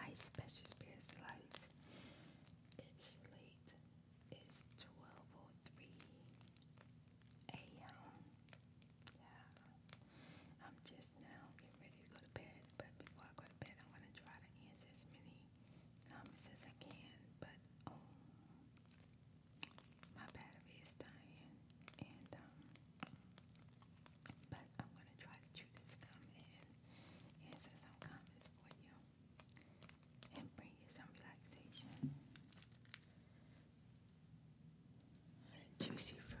Hi, Special Spirits It's late. It's 12.03 a.m. I'm just now getting ready to go to bed, but before I go to bed, I'm going to try to answer as many comments as I can, but um, my battery is dying, and um, but I'm gonna try to chew this gum and answer some comments for you and bring you some relaxation. Juicy fruit.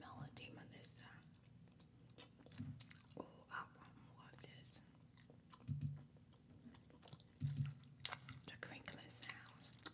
Melody Melissa. Oh, I want more of this. The crinkling sound.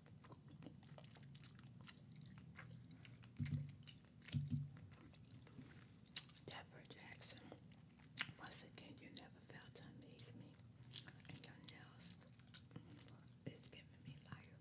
Deborah Jackson, once again, you never fail to amaze me. And your nails is giving me liar.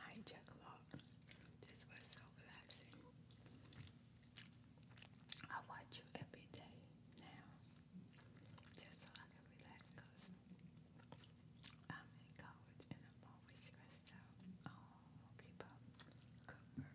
I ain't chuckle This was so relaxing. I watch you every day now, just so I can relax, cause I'm in college and I'm always stressed out. Oh, keep up, good work.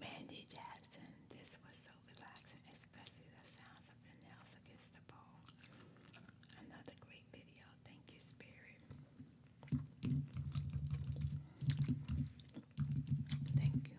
Mandy Jackson. This was so relaxing, especially the sounds of nails against the pole. Another great video. Thank you, Spirit. Thank you.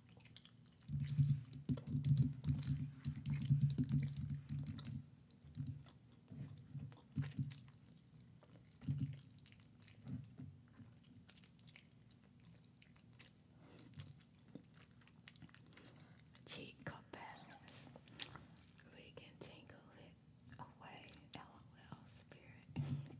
Cheek cup patterns. We can tingle it away. LOL spirit.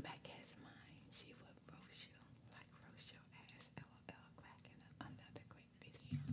Back as mine, she would roast you like roast your ass. LOL, cracking up another great video.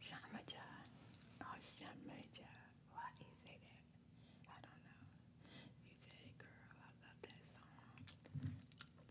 Shamaja or oh, Shamaja. Why you say that? I don't know. You said girl. I love that song.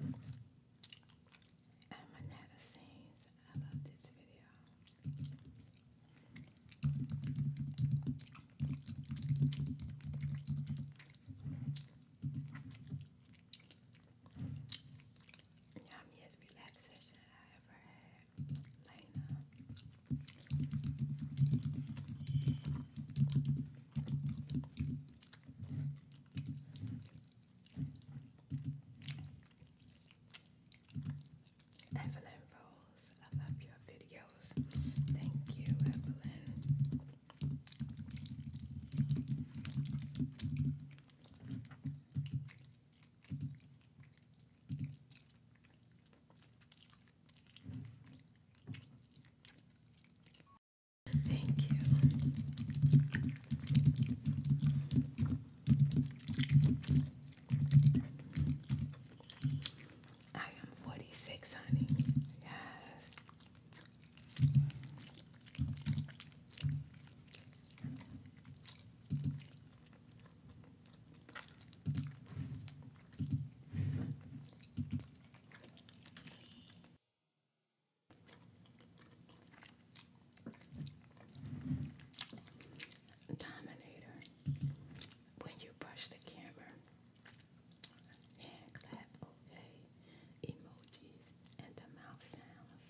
and my nana sings. I love this video. Yummiest relaxation I ever had. Lena. Evelyn Rose, I love your videos. Thank you, Evelyn. Thank you. I am 46, honey. Yes. Dominator, when you brush the camera, hand clap, okay, emojis, and the mouth sounds.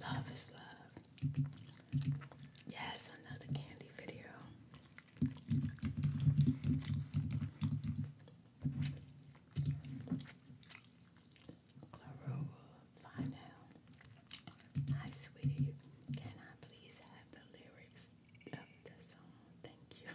Love is love. Yes, another candy video. Clarova, find Hi, sweetie. Can I please have the lyrics of the song? Thank you.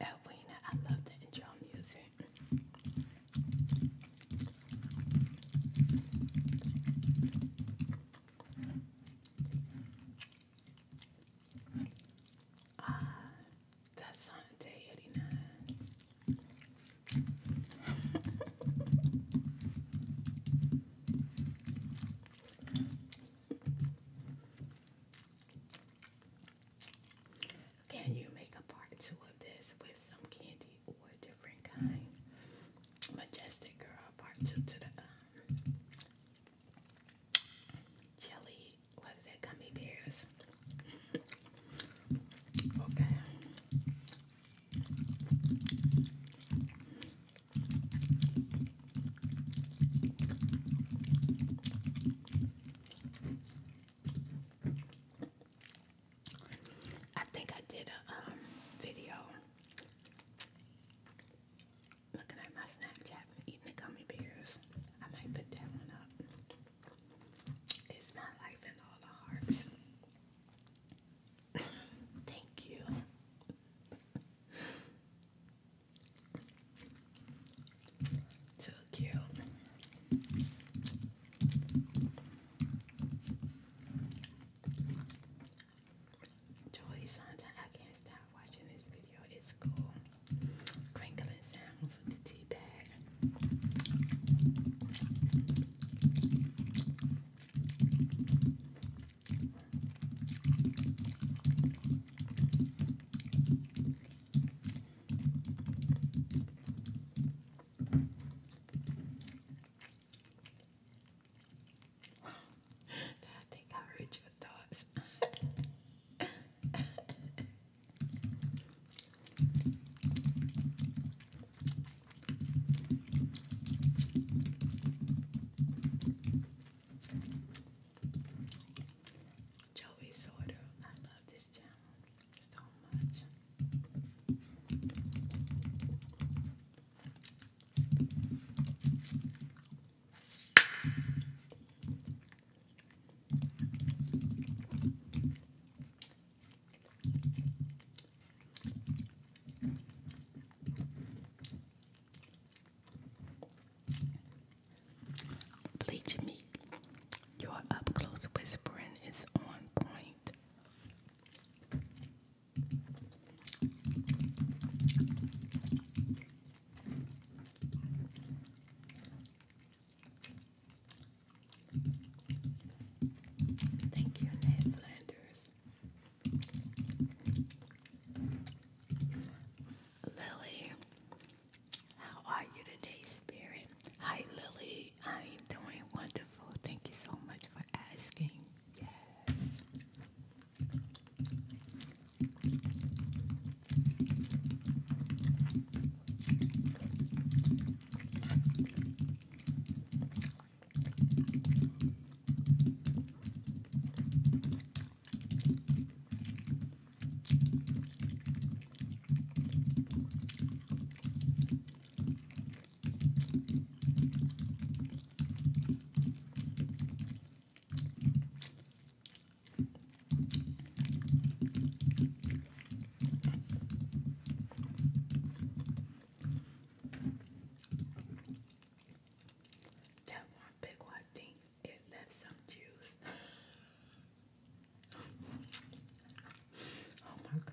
Edwina, I love the intro music. Uh, that's on day 89. Can you make a part two of this with some candy or different kinds. Majestic Girl Part 2 to the um, Jelly, what is that, gummy bears? okay. I think I did a um, video looking at my Snapchat eating the gummy bears. I might put that one up. It's my life in all the hearts. Thank you. Too cute. Joy, sometimes I can't stop watching this video. It's cool. Crinkling sounds with the tea bag. I think I heard your thoughts. Joey Sorter, I love this channel you so Your up close whispering is on point. Thank you, Ned Flanders. Lily, how are you today, Spirit? Hi, Lily. I am doing Thank you so much for asking. Yes. That one big one, I it left some juice. oh my god.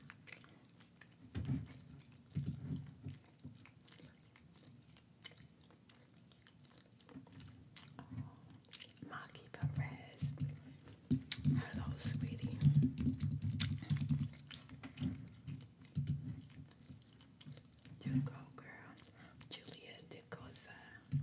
Maki Perez. Hello, sweetie. You go, girl. Julia DeCosa.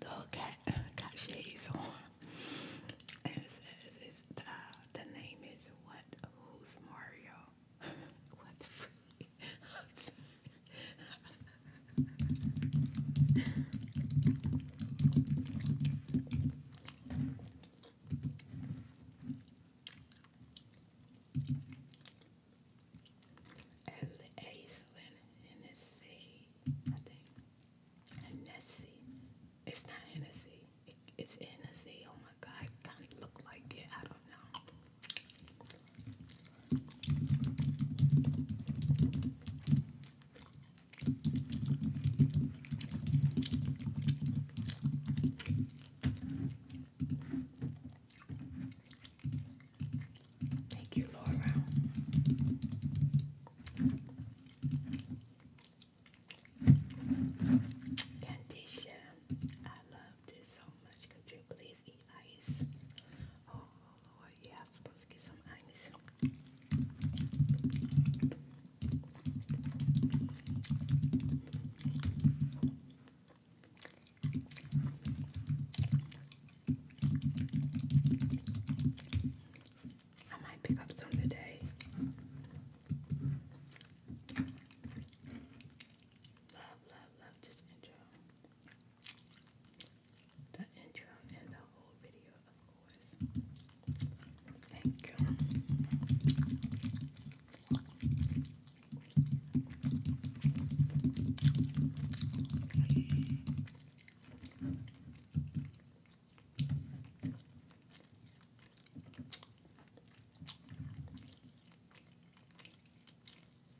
The got shades on. And it says it's the, uh, the name is what? Who's Mario? what the freak? I'm sorry. And Aislinn Hennessy, I think. Hennessy. It's not Hennessy. It, it's Hennessy. Oh my god, it kind of look like it. I don't know. Thank you, Laura. Candisha, I love this so much. Could you please ice. Oh, yeah, I'm supposed to get some ice. I might pick up some today. Love, love, love this intro the intro and the whole video, of course. Thank you.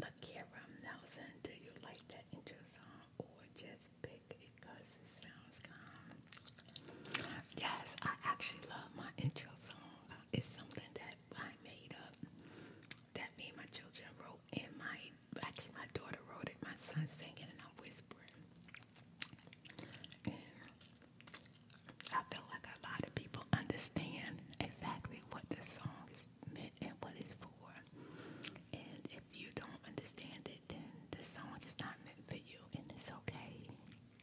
Look here, do you like that intro song or just pick it because it sounds calm? Yes, I actually love my intro song. It's something that I made up that me and my children wrote and my actually my daughter wrote it, my son singing and I'm whispering. I feel like a lot of people understand exactly what the song is meant and what it's for. And if you don't understand it, then the song is not meant for you and it's okay.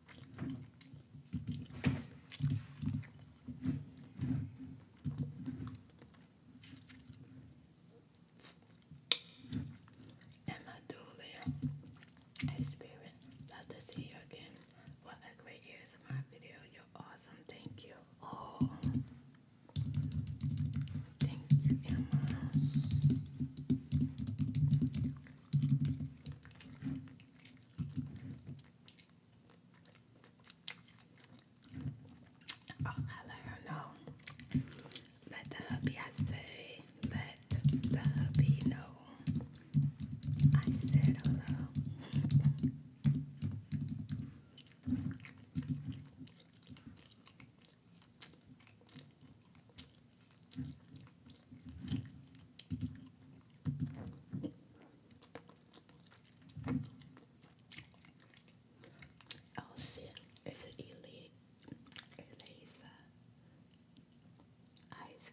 And my dual experience. Love to see you again. What a great year is my video. You're awesome. Thank you. Oh, thank you, Emma. Oh, I let her know. Let the hubby, say, let the hubby know. I said hello. Oh shit, it's an elite Elisa uh, Ice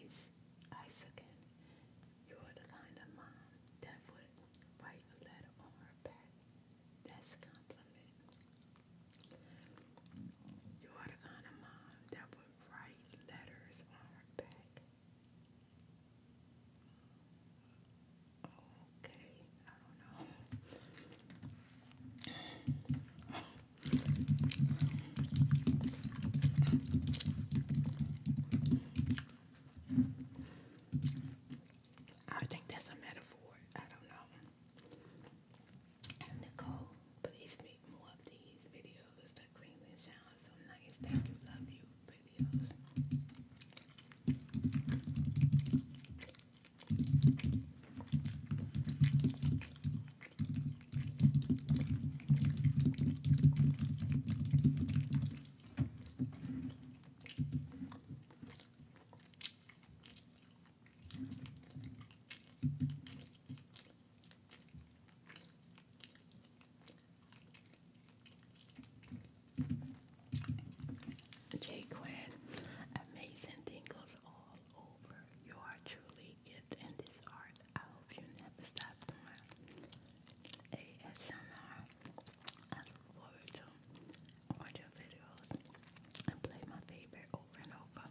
Ice You're the kind of mom that would write a letter on her back. That's compliment. You are the kind of mom that would write letters on her back. Okay, I don't know. I think that's a metaphor. I don't know. Nicole, please make more of these videos videos. The crinkling sounds so nice. Thank you, love you videos. J. amazing tingles all over. You are truly gifted in this art. I hope you never stop ASMR. I look forward to watch your videos and play my favorite over and over.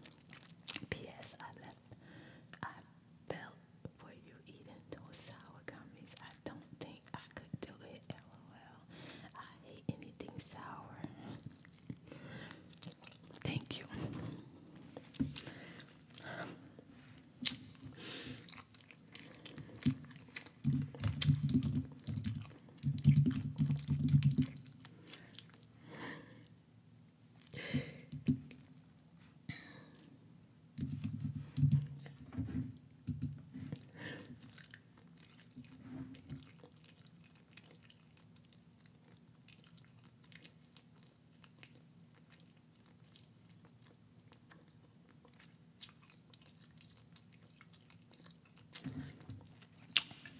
P.S. I left belt for you eating those sour gummies. I don't think I could do it. LOL. I hate anything sour. Thank you.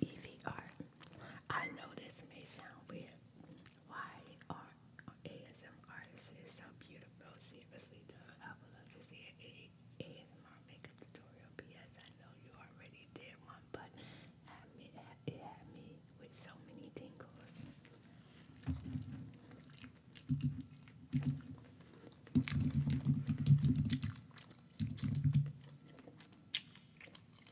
EVR I know this may sound weird. Why are ASM artists so beautiful? Seriously, dude, I would love to see an ASMR makeup tutorial. P.S. I know you already did one, but it had me with so many tingles.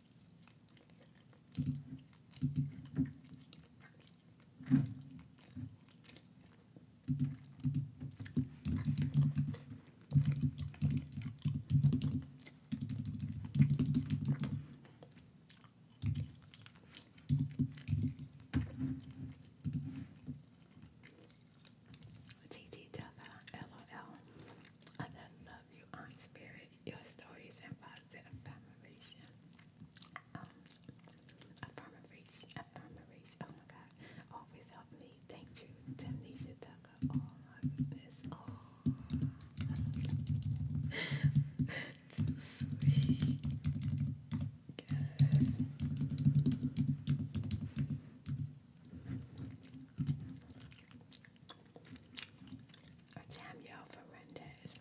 TT love you, Aunt Spirit your stories and positive affirmation. Um, affirmation, affirmation. Oh my God, always help me. Thank you, Tamnesha Tucker. Oh my goodness. Oh, sweet. Yes. Danielle Ferrandez.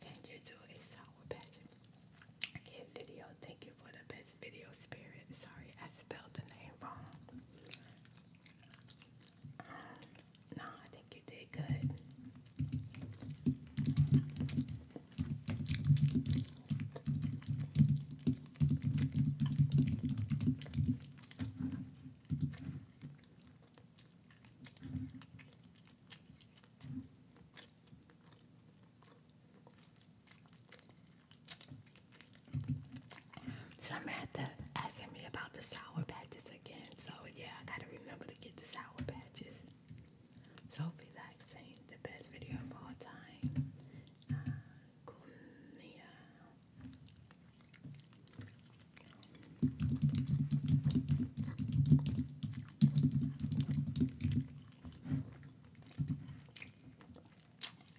Can you do a sour patch? Again, video. Thank you for the best video spirit. Sorry, I spelled the name wrong. Um, no, I think you did good. Someone asking me about the sour patches again, so yeah, I gotta remember to get the sour patches. So relaxing, the best video of all time. Uh, Kunia.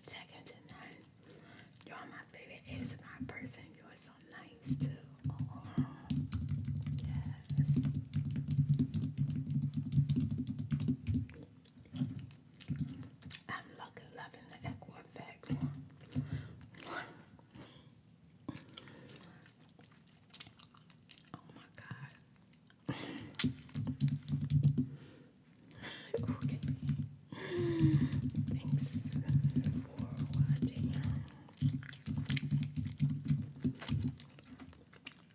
Second to none. You're my favorite is my person. You're so nice too. I'm loving the echo effect. Oh my god. okay. Thanks for watching.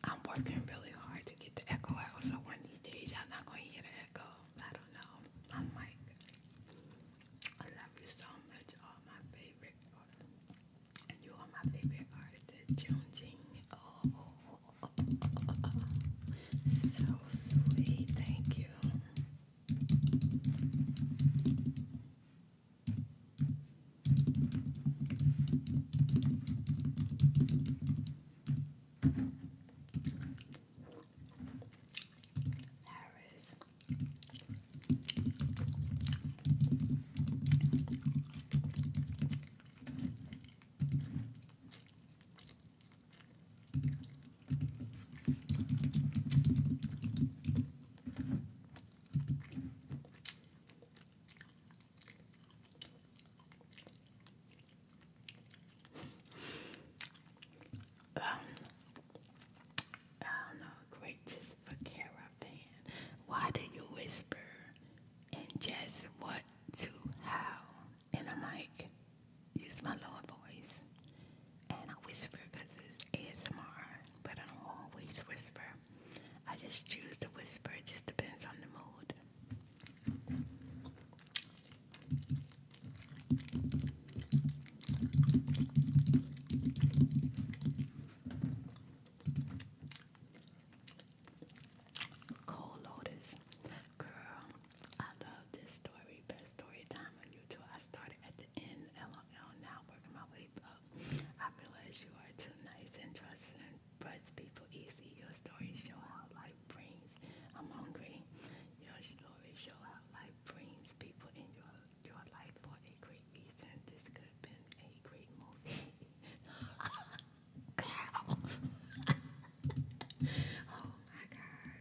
I'm working really hard to get the echo out, so one these days y'all not gonna hear the echo. I don't know. I'm I love you so much. All my favorite, and you are my favorite artist, Junjin. Oh, so sweet. Thank you. Harris um, I don't know, gracious for caravan. Why do you whisper and just what to how? And I'm like, use my lower voice. And I whisper because it's ASMR, but I don't always whisper. I just choose to whisper, it just depends on the mood. Cold Lotus. Girl, I love this story. Best story time on YouTube. I started at the end, LOL, now working my way up. I realize you are too nice and trusting and people easy. Your stories show how life brings. I'm hungry. Your stories show how life brings people in your your life for a great reason. This could have been a great movie. oh my god.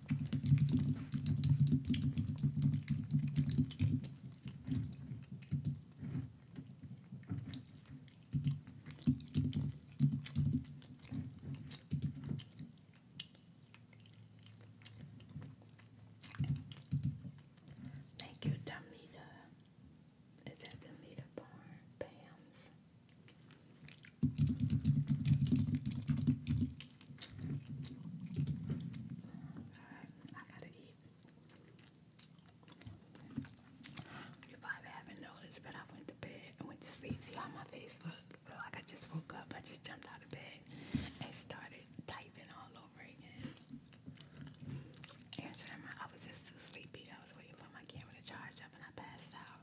Thank you, Damita. Is that Damita Barn? I gotta eat. You probably haven't noticed, but I went to bed and went to sleep. See how my face looked? like I just woke up. I just jumped out of bed and started typing all over again. And so my, I was just too sleepy. I was waiting for my camera to charge up and I passed out.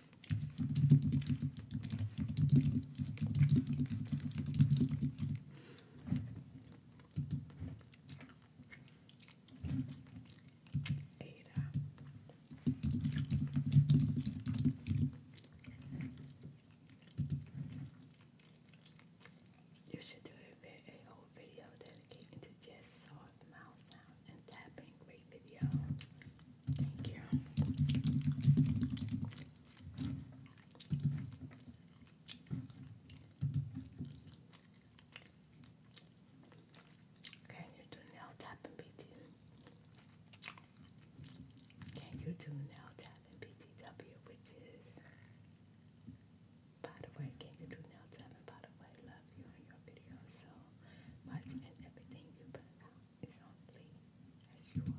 Ada. You should do a, a whole video dedicated to just soft mouth sound and tapping. Great video. Thank you. Can you do nail tapping, BT? Can you do nail tapping, BTW? Which is, by the way, can you do nail tapping? By the way, love you and your videos so much and everything you put out is only as you are.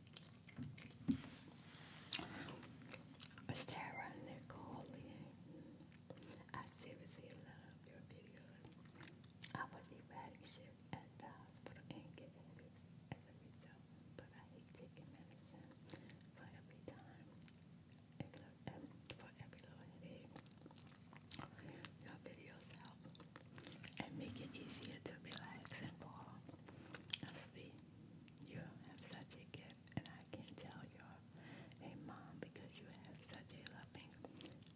Sarah Nicole, I seriously love your videos. I was erratic shift at the hospital but I hate taking medicine for every time, for every little headache. Your videos help and make it easier to relax and fall See, you have such a gift, and I can tell you're a mom because you have such a loving,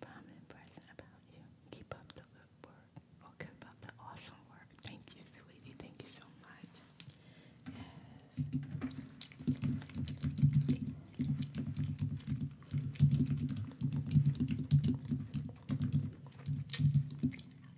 prominent person about you. Keep up the good work, or oh, keep up the awesome work. Thank you, sweetie. Thank you so much.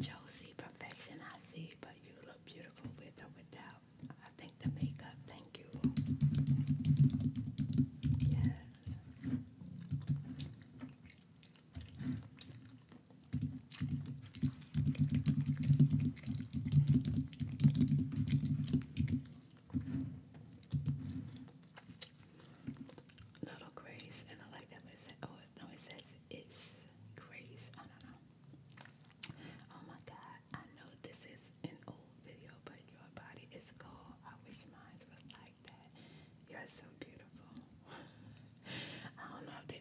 Josie, perfection I see, but you look beautiful with or without. I think the makeup, thank you. Yes. Little Grace, and I like that no, it says it's grace. I don't know. Oh my God! I know this is an old video, but your body is gold. I wish mine was like that. You're so beautiful. I don't know if oh, I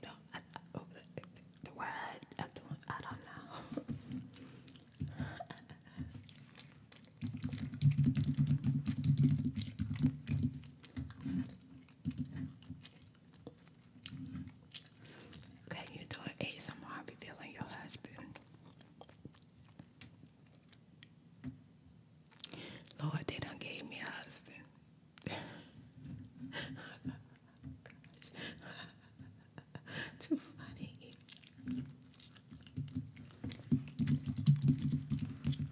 don't. I don't know. Can you do an ASMR revealing your husband? Lord, they done gave me a husband. Too funny.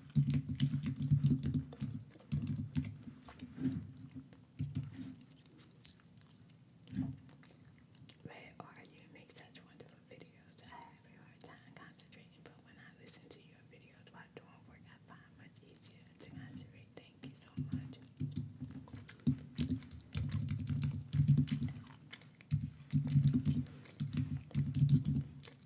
Where are you? Make such wonderful videos. I have a hard time concentrating, but when I listen to your videos while doing work, I find much easier to concentrate. Thank you so much. Okay,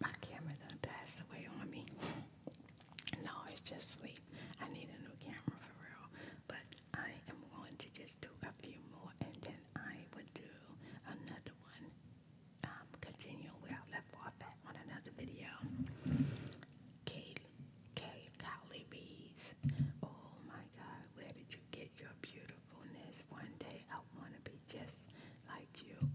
my camera done passed away on me. no, it's just sleep. I need a new camera for real. But I am going to just do a few more and then I will do another one. Um, continue where I left off at on another video. Kay, Kay Cowley Bees. Oh my God, where did you get your beautifulness? One day I want to be just like you.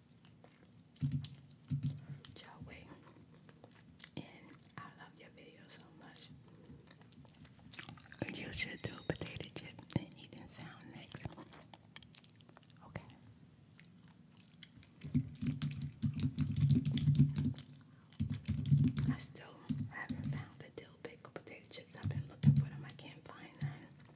Joe And I love your video so much. You should do potato chip eating sound next. Okay. I still haven't found the dill pickle potato chips. I've been looking for them. I can't find none.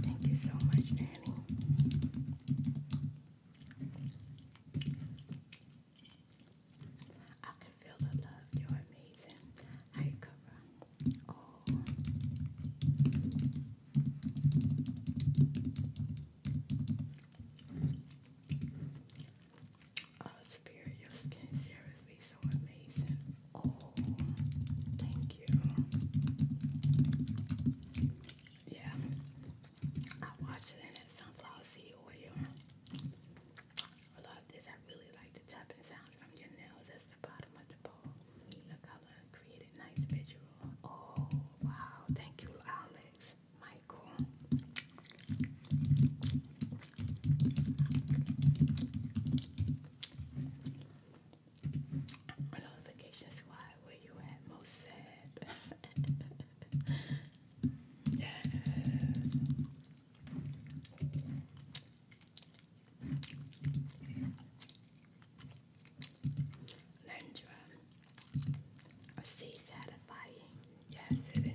Thank you so much, Danny. I can feel the love. You're amazing. I cover. Oh. Oh, Spirit, your skin seriously so amazing. Oh, thank you. Yeah, I watched it in sunflower seed oil. I love this. I really like the tapping sound from your nails. That's the bottom of the bowl. The color created nice visual. Oh, wow. Thank you, Alex. Michael. Notifications, why where you at most yes. Lendra, or sea satisfying. Yes, indeed.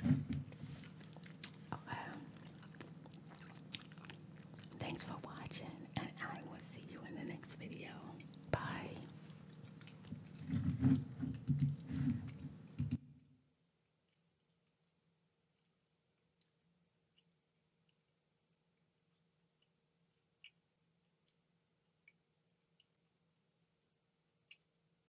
Okay. Thanks for watching, and I will see you in the next video. Bye.